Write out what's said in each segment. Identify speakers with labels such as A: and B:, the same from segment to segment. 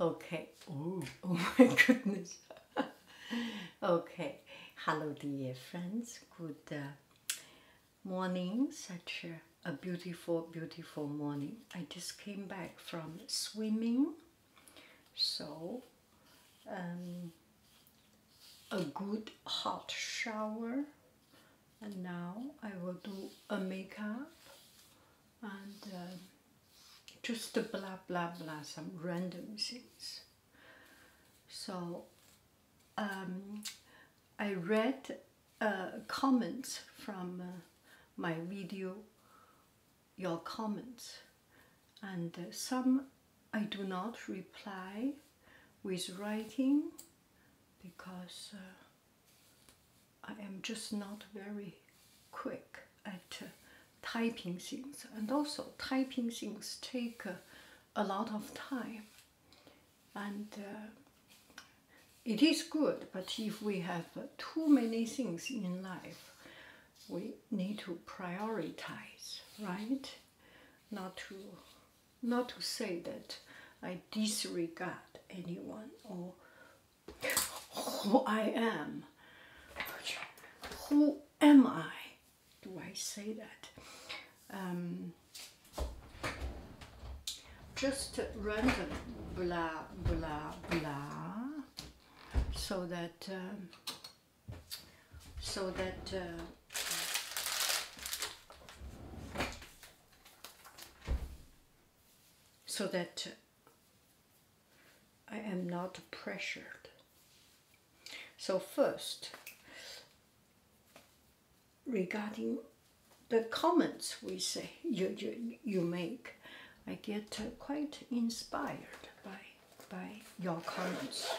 A: Okay. Oh my goodness. okay. Hello, dear friends. Good uh, morning. Such a, beautiful, beautiful morning. I just came back from swimming. So, um, a good hot shower. And now I will do a makeup and uh, just to blah blah blah some random things. So um, I read uh, comments from uh, my video, your comments, and some I do not reply with writing because I am just not very quick at uh, typing things, and also typing things take uh, a lot of time, and uh, it is good. But if we have too many things in life, we need to prioritize, right? Not to, not to say that I disregard anyone or who I am. Who am I? Do I say that? Um, just random blah blah blah so that um, so that uh, so that I am not pressured. So first, regarding the comments we say you, you, you make, I get quite inspired by, by your comments.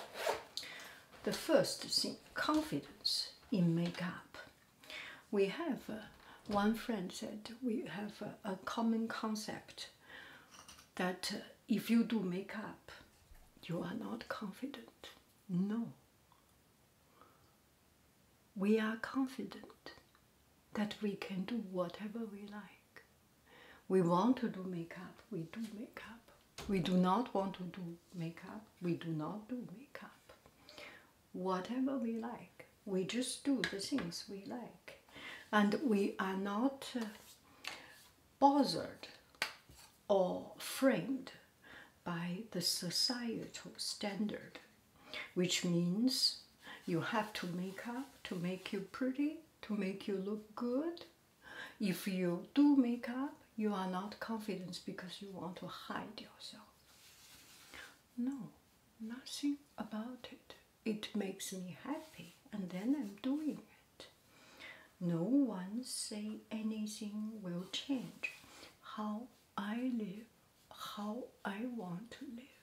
A: The first thing, confidence in makeup we have uh, one friend said we have uh, a common concept that uh, if you do makeup, you are not confident. No. We are confident that we can do whatever we like. We want to do makeup, we do makeup. We do not want to do makeup, we do not do makeup whatever we like. We just do the things we like. And we are not uh, bothered or framed by the societal standard, which means you have to make up to make you pretty, to make you look good. If you do make up, you are not confident because you want to hide yourself. No, nothing about it. It makes me happy and then I'm doing it. No one say anything will change how I live, how I want to live.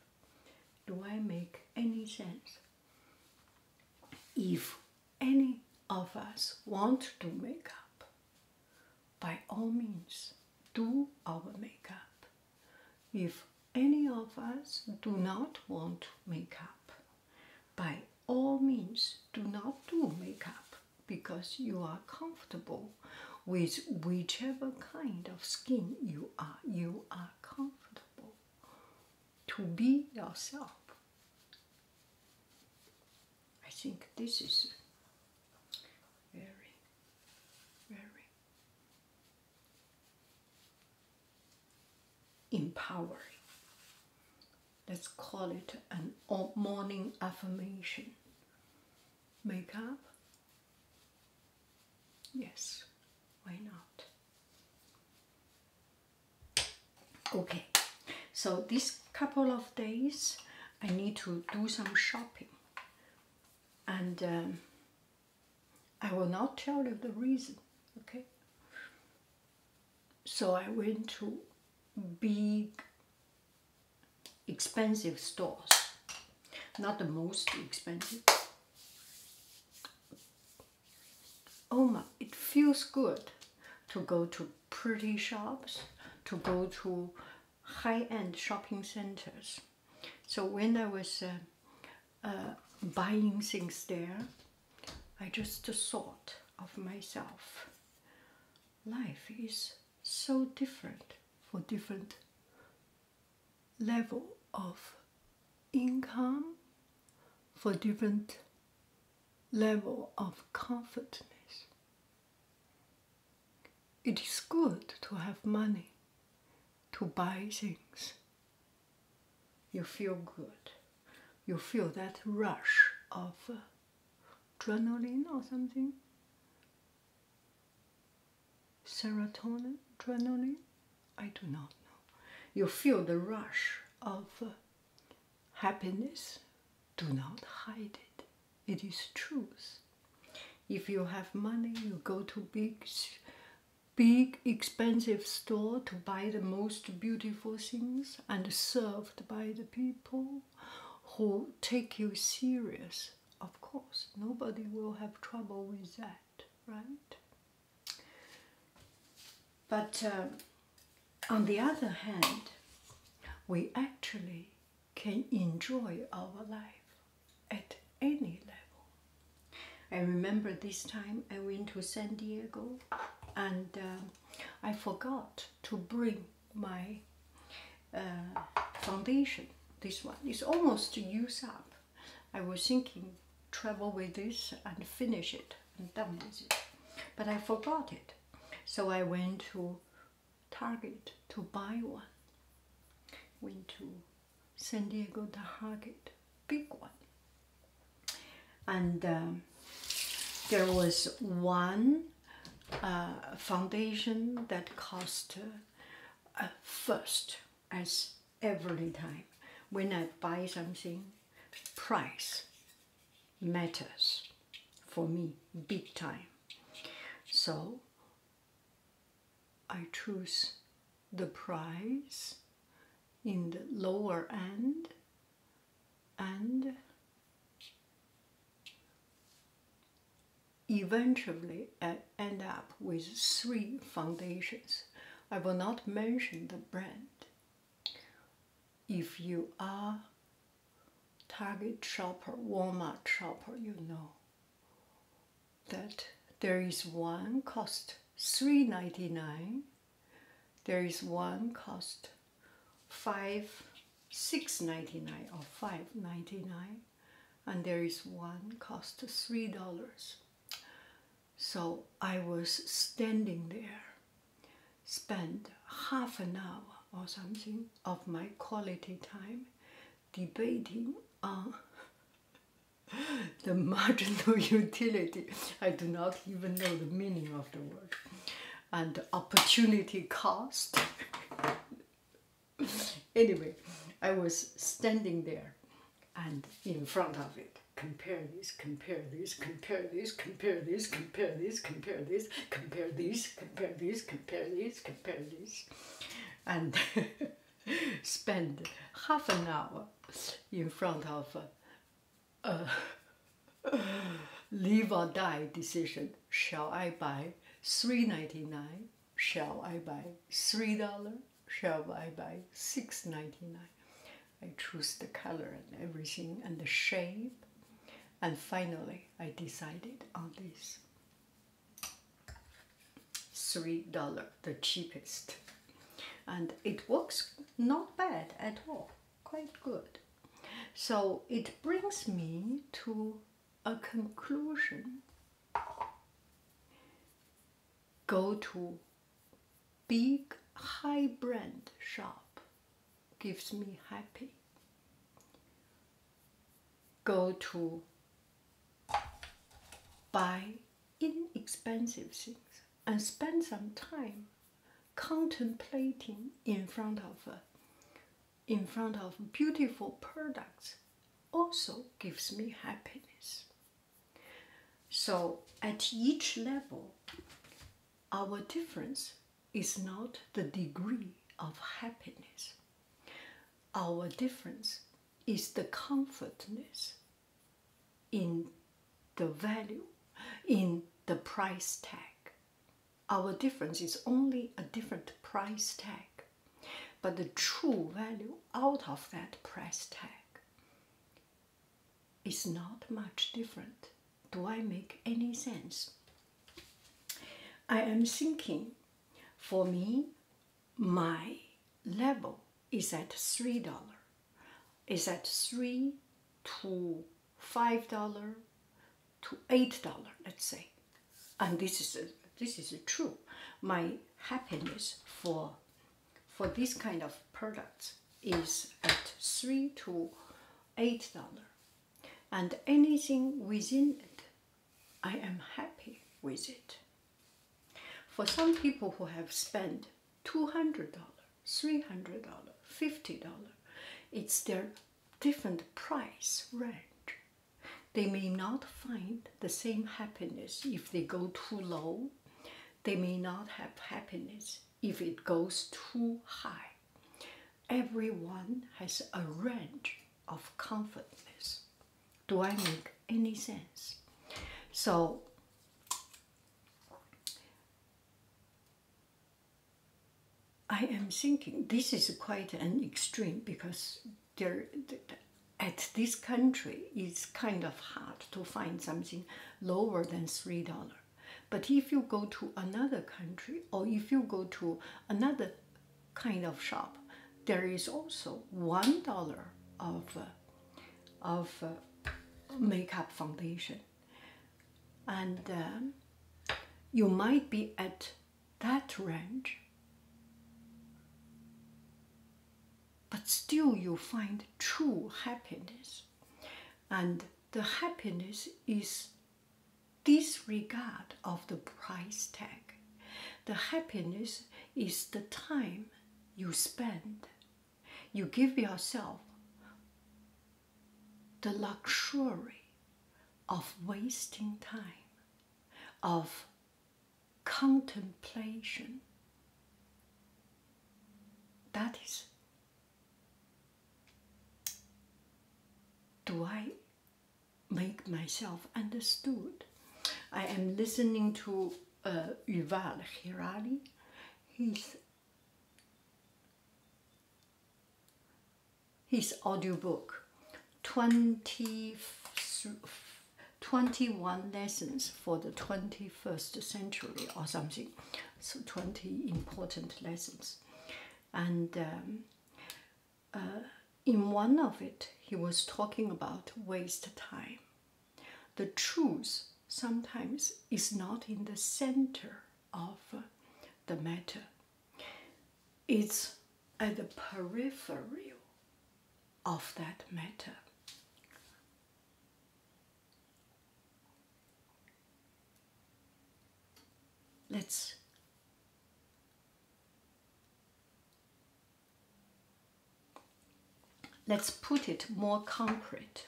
A: Do I make any sense? If any of us want to make up, by all means, do our makeup if any of us do not want makeup, by all means do not do makeup because you are comfortable with whichever kind of skin you are. You are comfortable to be yourself. I think this is very, very empowering. Let's call it an morning affirmation. Makeup? Yes, why not? Okay, so this couple of days I need to do some shopping and um, I will not tell you the reason, okay? So I went to big, expensive stores. Not the most expensive. Oh my, it feels good to go to pretty shops, to go to high-end shopping centers so when I was uh, uh, buying things there, I just thought of myself. Life is so different for different level of income, for different level of comfortness. It is good to have money to buy things. You feel good. You feel that rush of uh, adrenaline or something. Serotonin, adrenaline, I do not know. You feel the rush of uh, happiness. Do not hide it. It is truth. If you have money, you go to big big expensive store to buy the most beautiful things and served by the people who take you serious of course nobody will have trouble with that right but uh, on the other hand we actually can enjoy our life at any level. I remember this time I went to San Diego and um, I forgot to bring my uh, foundation. This one is almost used up. I was thinking travel with this and finish it and done with it. But I forgot it. So I went to Target to buy one. Went to San Diego the Haggett, big one. And um, there was one uh, foundation that cost uh, first, as every time. When I buy something, price matters for me big time. So I choose the price in the lower end and eventually I end up with three foundations. I will not mention the brand. If you are Target shopper, Walmart shopper, you know that there is one cost $3.99 there is one cost five six ninety nine or five ninety nine and there is one cost three dollars so I was standing there spent half an hour or something of my quality time debating on uh, the marginal utility. I do not even know the meaning of the word. And opportunity cost. anyway, I was standing there and in front of it. Compare these, compare these, compare these, compare these, compare these, compare these, compare these, compare these, compare this, compare this. And spend half an hour in front of a, live or die decision. Shall I buy three ninety nine? Shall I buy three dollar? Shall I buy six ninety nine? I choose the color and everything and the shape, and finally I decided on this three dollar the cheapest and it works not bad at all quite good so it brings me to a conclusion go to big high brand shop gives me happy go to buy inexpensive things and spend some time contemplating in front of uh, in front of beautiful products also gives me happiness. So at each level, our difference is not the degree of happiness. Our difference is the comfortness in the value, in the price tag. Our difference is only a different price tag, but the true value out of that price tag is not much different. Do I make any sense? I am thinking for me, my level is at three dollar is at three to five dollar to eight dollar let's say and this is this is true my happiness for for this kind of products is at three to eight dollar and anything within it i am happy with it for some people who have spent $200, $300, $50, it's their different price range. They may not find the same happiness if they go too low. They may not have happiness if it goes too high. Everyone has a range of comfortness. Do I make any sense? So, I am thinking this is quite an extreme because there, at this country, it's kind of hard to find something lower than $3. But if you go to another country or if you go to another kind of shop, there is also $1 of uh, of uh, makeup foundation and um, you might be at that range but still you find true happiness and the happiness is disregard of the price tag the happiness is the time you spend, you give yourself the luxury of wasting time, of contemplation. That is, do I make myself understood? I am listening to uh, Yuval Harari. His, his audiobook, 20, 21 Lessons for the 21st Century or something. So 20 important lessons. And um, uh, in one of it, he was talking about waste time the truth sometimes is not in the center of the matter, it's at the periphery of that matter. Let's Let's put it more concrete.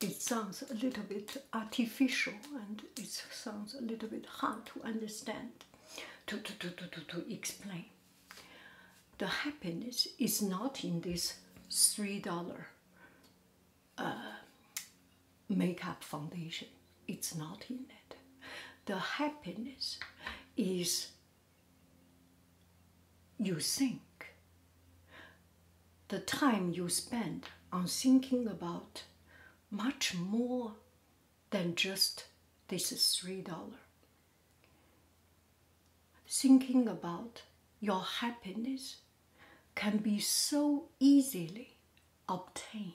A: It sounds a little bit artificial and it sounds a little bit hard to understand, to, to, to, to, to explain. The happiness is not in this $3 uh, makeup foundation it's not in it. The happiness is you think. The time you spend on thinking about much more than just this is $3. Thinking about your happiness can be so easily obtained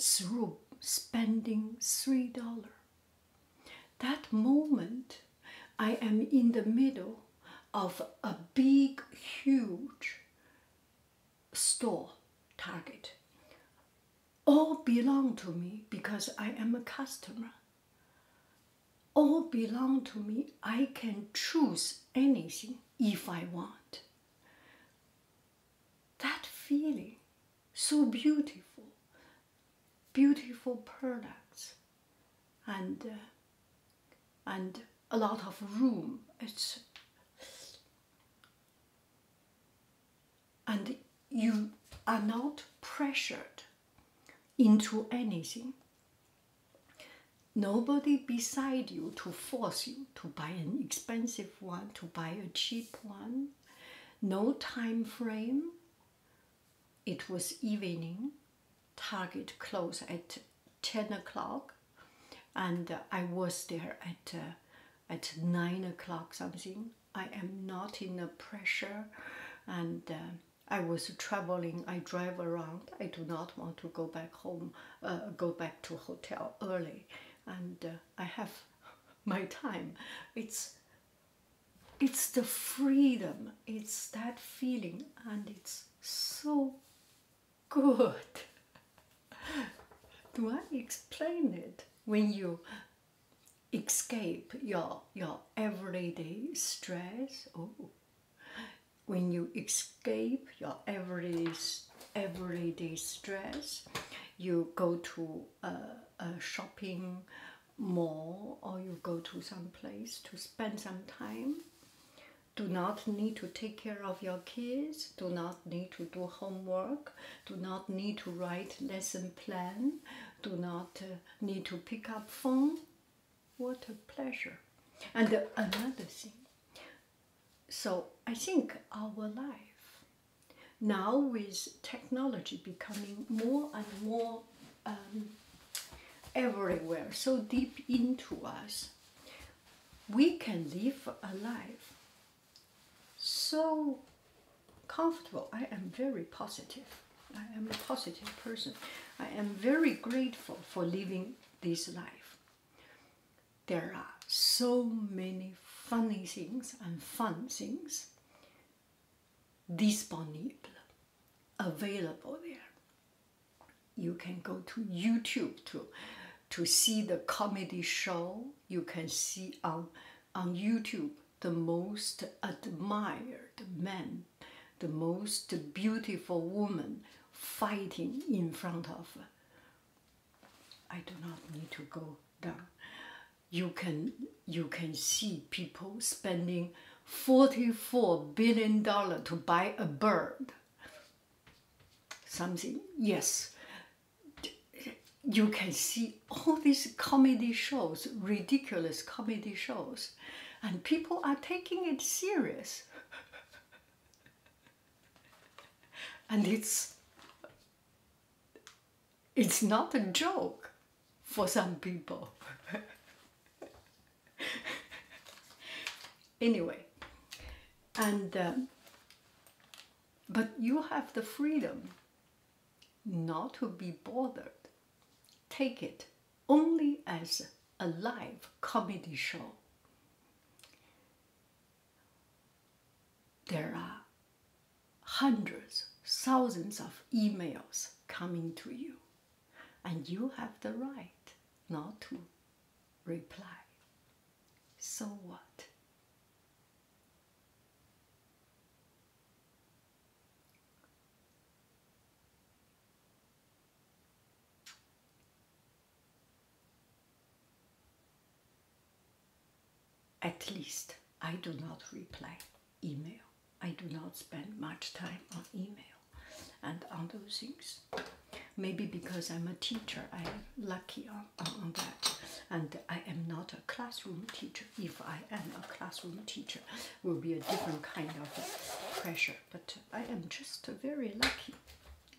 A: through spending three dollar that moment i am in the middle of a big huge store target all belong to me because i am a customer all belong to me i can choose anything if i want that feeling so beautiful beautiful products and uh, and a lot of room it's and you are not pressured into anything nobody beside you to force you to buy an expensive one, to buy a cheap one, no time frame. It was evening, Target close at 10 o'clock, and I was there at, uh, at 9 o'clock something. I am not in a pressure, and uh, I was traveling, I drive around. I do not want to go back home, uh, go back to hotel early. And I have my time it's it's the freedom it's that feeling and it's so good do i explain it when you escape your your everyday stress oh when you escape your everyday everyday stress you go to a, shopping mall or you go to some place to spend some time do not need to take care of your kids, do not need to do homework, do not need to write lesson plan, do not uh, need to pick up phone. What a pleasure. And another thing. So I think our life now with technology becoming more and more um, everywhere, so deep into us, we can live a life so comfortable. I am very positive. I am a positive person. I am very grateful for living this life there are so many funny things and fun things disponible, available there. You can go to YouTube to, to see the comedy show. You can see on, on YouTube the most admired man, the most beautiful woman fighting in front of I do not need to go down. You can you can see people spending 44 billion dollar to buy a bird. Something yes. You can see all these comedy shows, ridiculous comedy shows, and people are taking it serious. and it's it's not a joke for some people. anyway, and uh, but you have the freedom not to be bothered. Take it only as a live comedy show there are hundreds, thousands of emails coming to you, and you have the right not to reply. So what? at least I do not reply email. I do not spend much time on email and on those things. Maybe because I'm a teacher, I'm lucky on, that. And I am not a classroom teacher. If I am a classroom teacher, will be a different kind of pressure. But I am just very lucky.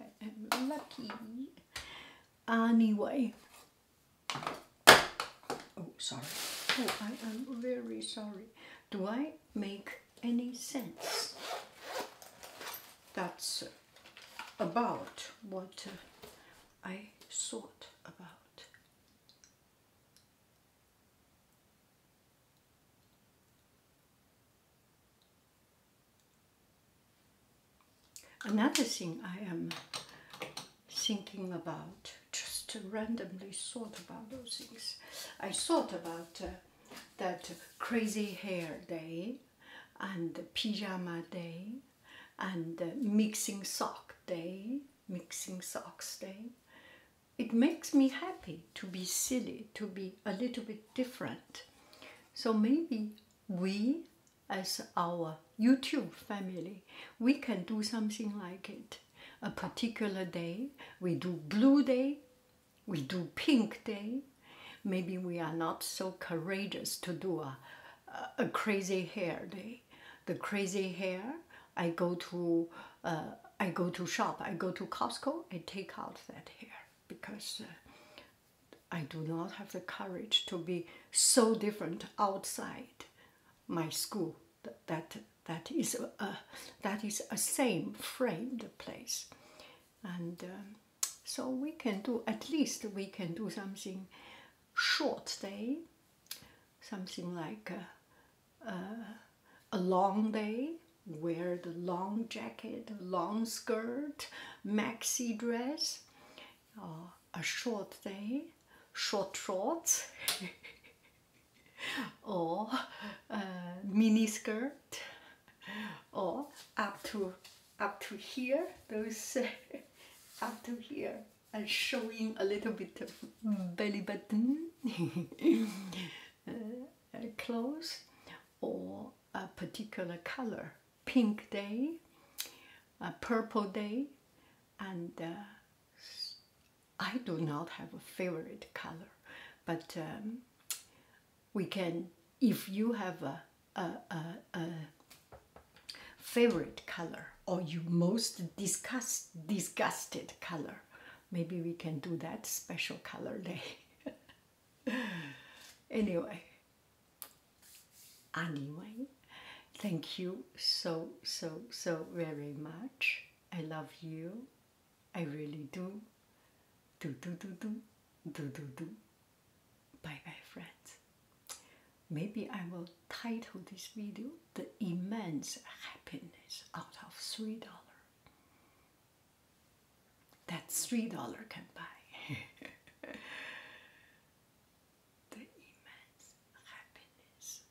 A: I am lucky. Anyway, Oh, sorry. Oh, I am very sorry. Do I make any sense? That's about what I thought about. Another thing I am thinking about, just randomly thought about those things. I thought about uh, that crazy hair day and pyjama day and mixing sock day, mixing socks day. It makes me happy to be silly, to be a little bit different. So maybe we as our YouTube family, we can do something like it. A particular day, we do blue day, we do pink day. Maybe we are not so courageous to do a, a crazy hair day. The crazy hair, I go to uh, I go to shop, I go to Costco, I take out that hair because uh, I do not have the courage to be so different outside my school that that is a, that is a same framed place and um, so we can do at least we can do something short day something like a, a long day wear the long jacket long skirt maxi dress a short day, short shorts, or uh, eh, mini skirt, or up to up to here, those up to here, and showing a little bit of hmm. belly button eh, eh, clothes, or a particular color, pink day, a purple day, and uh, I do not have a favorite color, but um, we can, if you have a, a, a, a favorite color or you most disgust, disgusted color, maybe we can do that special color day. anyway, Anyway, thank you so, so, so very much. I love you. I really do. Do, do, do, do. Do, do, do. Bye bye, friends. Maybe I will title this video The Immense Happiness Out of $3. That $3 can buy. the immense happiness.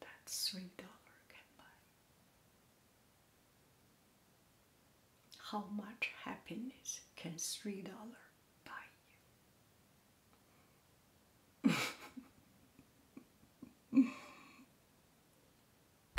A: That three dollar can buy. How much happiness can three dollar buy you?